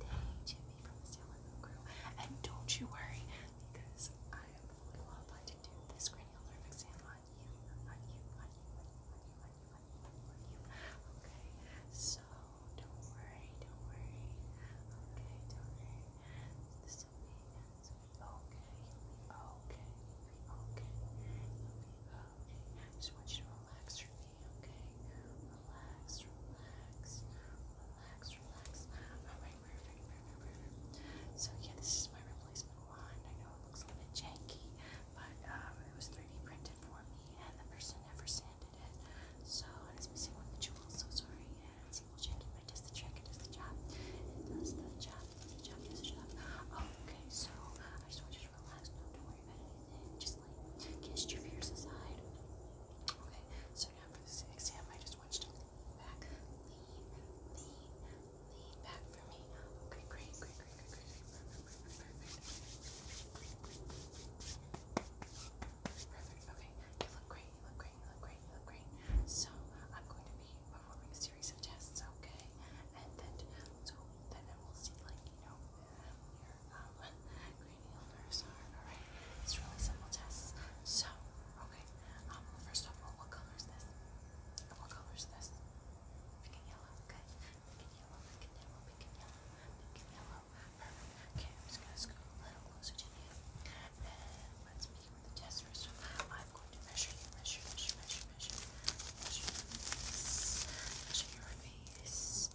Hey, Jimmy from the Sailor crew. And don't you worry, because I am fully qualified to do this cranial nerve exam on you, on you, on you, on you, on you, on you, on you, on you, Okay, so don't worry, don't worry. Okay, don't worry. This will be, this okay, okay, okay, okay. I just want you to relax okay? Relax, relax, relax, relax. Alright, perfect, perfect, perfect. So yeah, this is my replacement wand. I know it looks a little bit janky, but um, it was 3D printed for me and the person never sanded it. So and it's missing one of the jewels, so sorry. And it's a little janky, but it does the trick, it does the job. It does the job, it does the job, it does the job. Oh, okay, so I just want you to relax, no, don't worry Just like cast your fears aside. Okay, so now for this exam, I just want you to lean back. Lean, lean, lean back for me. Okay, great, great, great, great, great. Perfect, perfect, perfect. Perfect, okay. You look great, you look great, you look great, you look great. So, I'm going to be performing a series of tests, okay? And then, so, then I will see, like, you know, it's really simple tests. So, okay, first of all, what color is this? What color is this? Pink and yellow, good. Pink and yellow, pink and yellow, pink and yellow, pink and yellow. Perfect. Okay, I'm just gonna scoot a little closer to you. And let's begin with the test first. I'm going to measure you, measure, measure, measure, measure, measure, measure Measure your face.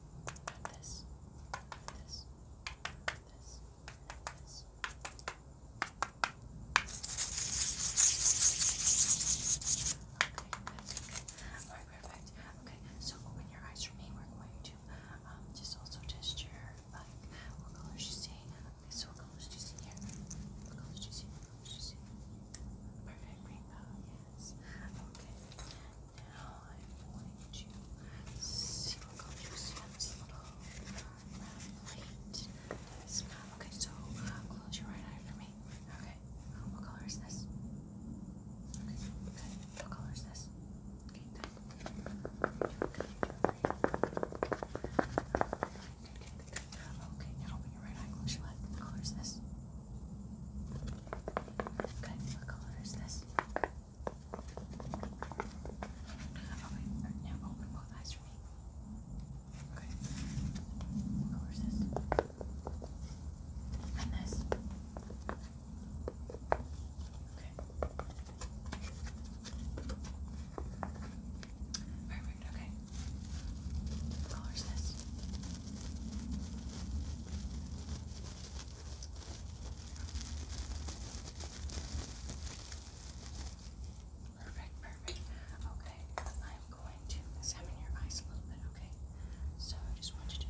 Okay, perfect. Okay, so open your eyes for me. We're going to just also test your, like, what colors you see. Okay, so what colors do you see here? What colors do you see? What colors do you see? Perfect rainbow, yes. Okay. Now I'm going to see what this little round plate. Okay, so close your right eye for me. Okay. What color is this? Okay, good. What color is this? Okay, good. Okay, now open your right eye, close your left. What color is this? Okay, what color is this? Okay, now open both eyes for me. Okay. What color is this? And this. Okay. Perfect, okay. What color is this? Perfect, perfect. Okay, I'm going to examine your eyes a little bit, okay? So I just want you to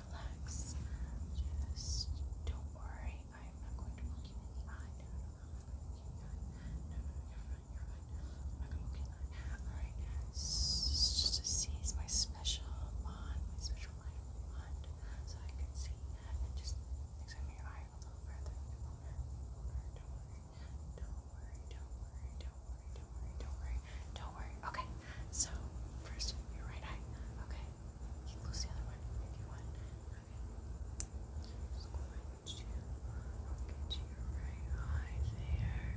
relax. Just don't worry. I'm not going to look you in the eye. No, no, no, you are fine, you're fine. I'm not going to you Alright, just to seize my special bond, my special light so I could see and just examine your eye a little further. Don't worry, don't worry, don't worry, don't worry, don't worry, don't worry, don't worry. Okay, so first your right eye. Okay, you close the other one if you want. Okay, just going to look at your right eye there.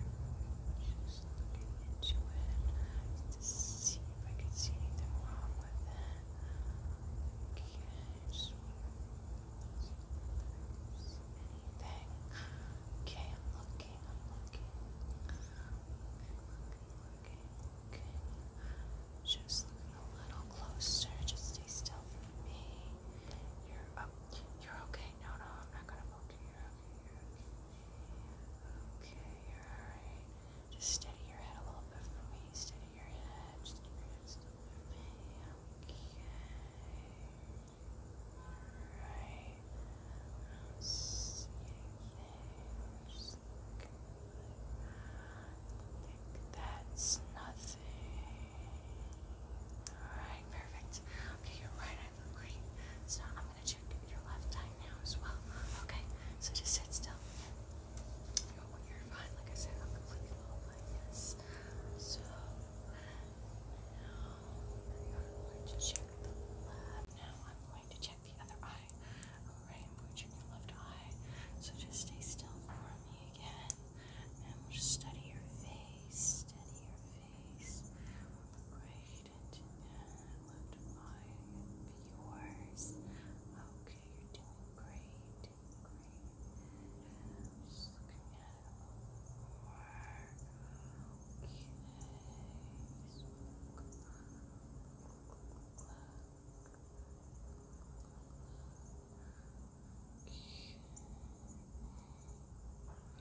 Just just looking into it to see if I could see anything wrong with it. Okay, I just anything. Okay, I'm looking, I'm looking. Okay, looking, looking, looking. Just looking a little closer. Just stay still for me. You're up. you're okay. No, no, I'm not gonna poke you. You're okay. You're okay. Okay, you're alright. Just steady your head a little bit for me. Steady your head. Just keep your head still with me. Okay. Alright. I don't see Think that's nothing. Alright, perfect. Okay, your right eye looks great. So check your left eye now as well. Okay, so just sit still. You are fine, like I said, I'm completely low yes. So now I'm going to check the left. Now I'm going to check the other eye. Alright, I'm going to check your left eye. So just stay still for me again. And we'll just study your face. Study your face. Right didn't look yours. Okay, you're doing great. Great. just looking at it more. Okay.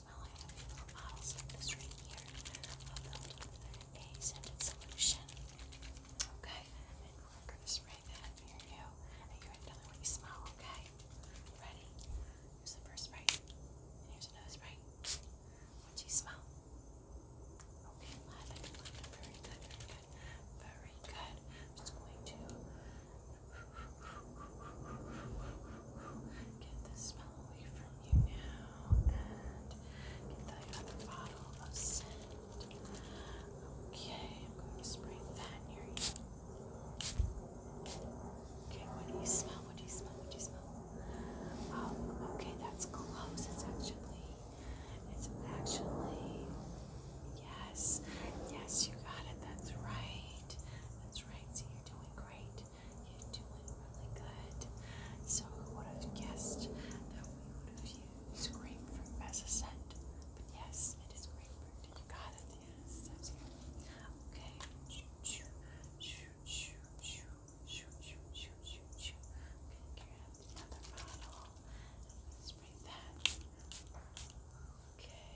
smell, a few little bottles of this right here a scented solution. Okay, and we're spray that near you, and you're going to tell me what smell, okay? Ready? Here's the first spray, and here's another spray. What do you smell? Okay, lavender, very good, very good, very good. I'm just going to Get the smell away from you now and get that other bottle of scent. Okay, I'm going to spray that near you. Okay, what do you smell? What do you smell? What do you smell? Oh, okay, that's close. It's actually, it's actually, yes, yes, you got it. That's right. That's right. So you're doing great. You're doing really good. So who would have guessed that we would have used grapefruit as a But yes, it is grapefruit. You got it. Yes, Okay. Okay, can bottle? let's spray that. Okay.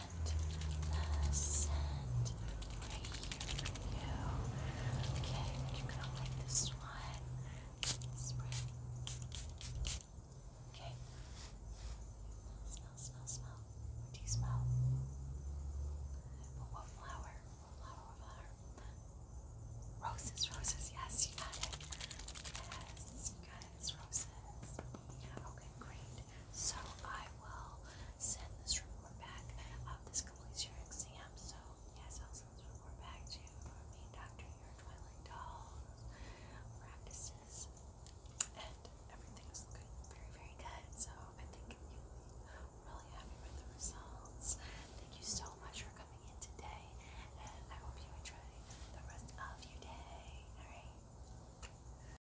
the scent right here for you. Okay, you're gonna like this one. Spray. Okay. Smell, smell, smell. What do you smell? what flower? What flower? Roses, roses. Yes, you got it. Yes, you got it. roses. Yeah, okay, great. So I will send this report back. Uh, this completes your exam, so yes, I'll send this report back to me, Dr. Your Twilight Dolls practices, and everything's looking very, very good. So I think you'll be really happy with the results. Thank you so much for coming in today, and I hope you enjoy the rest of your day. All right.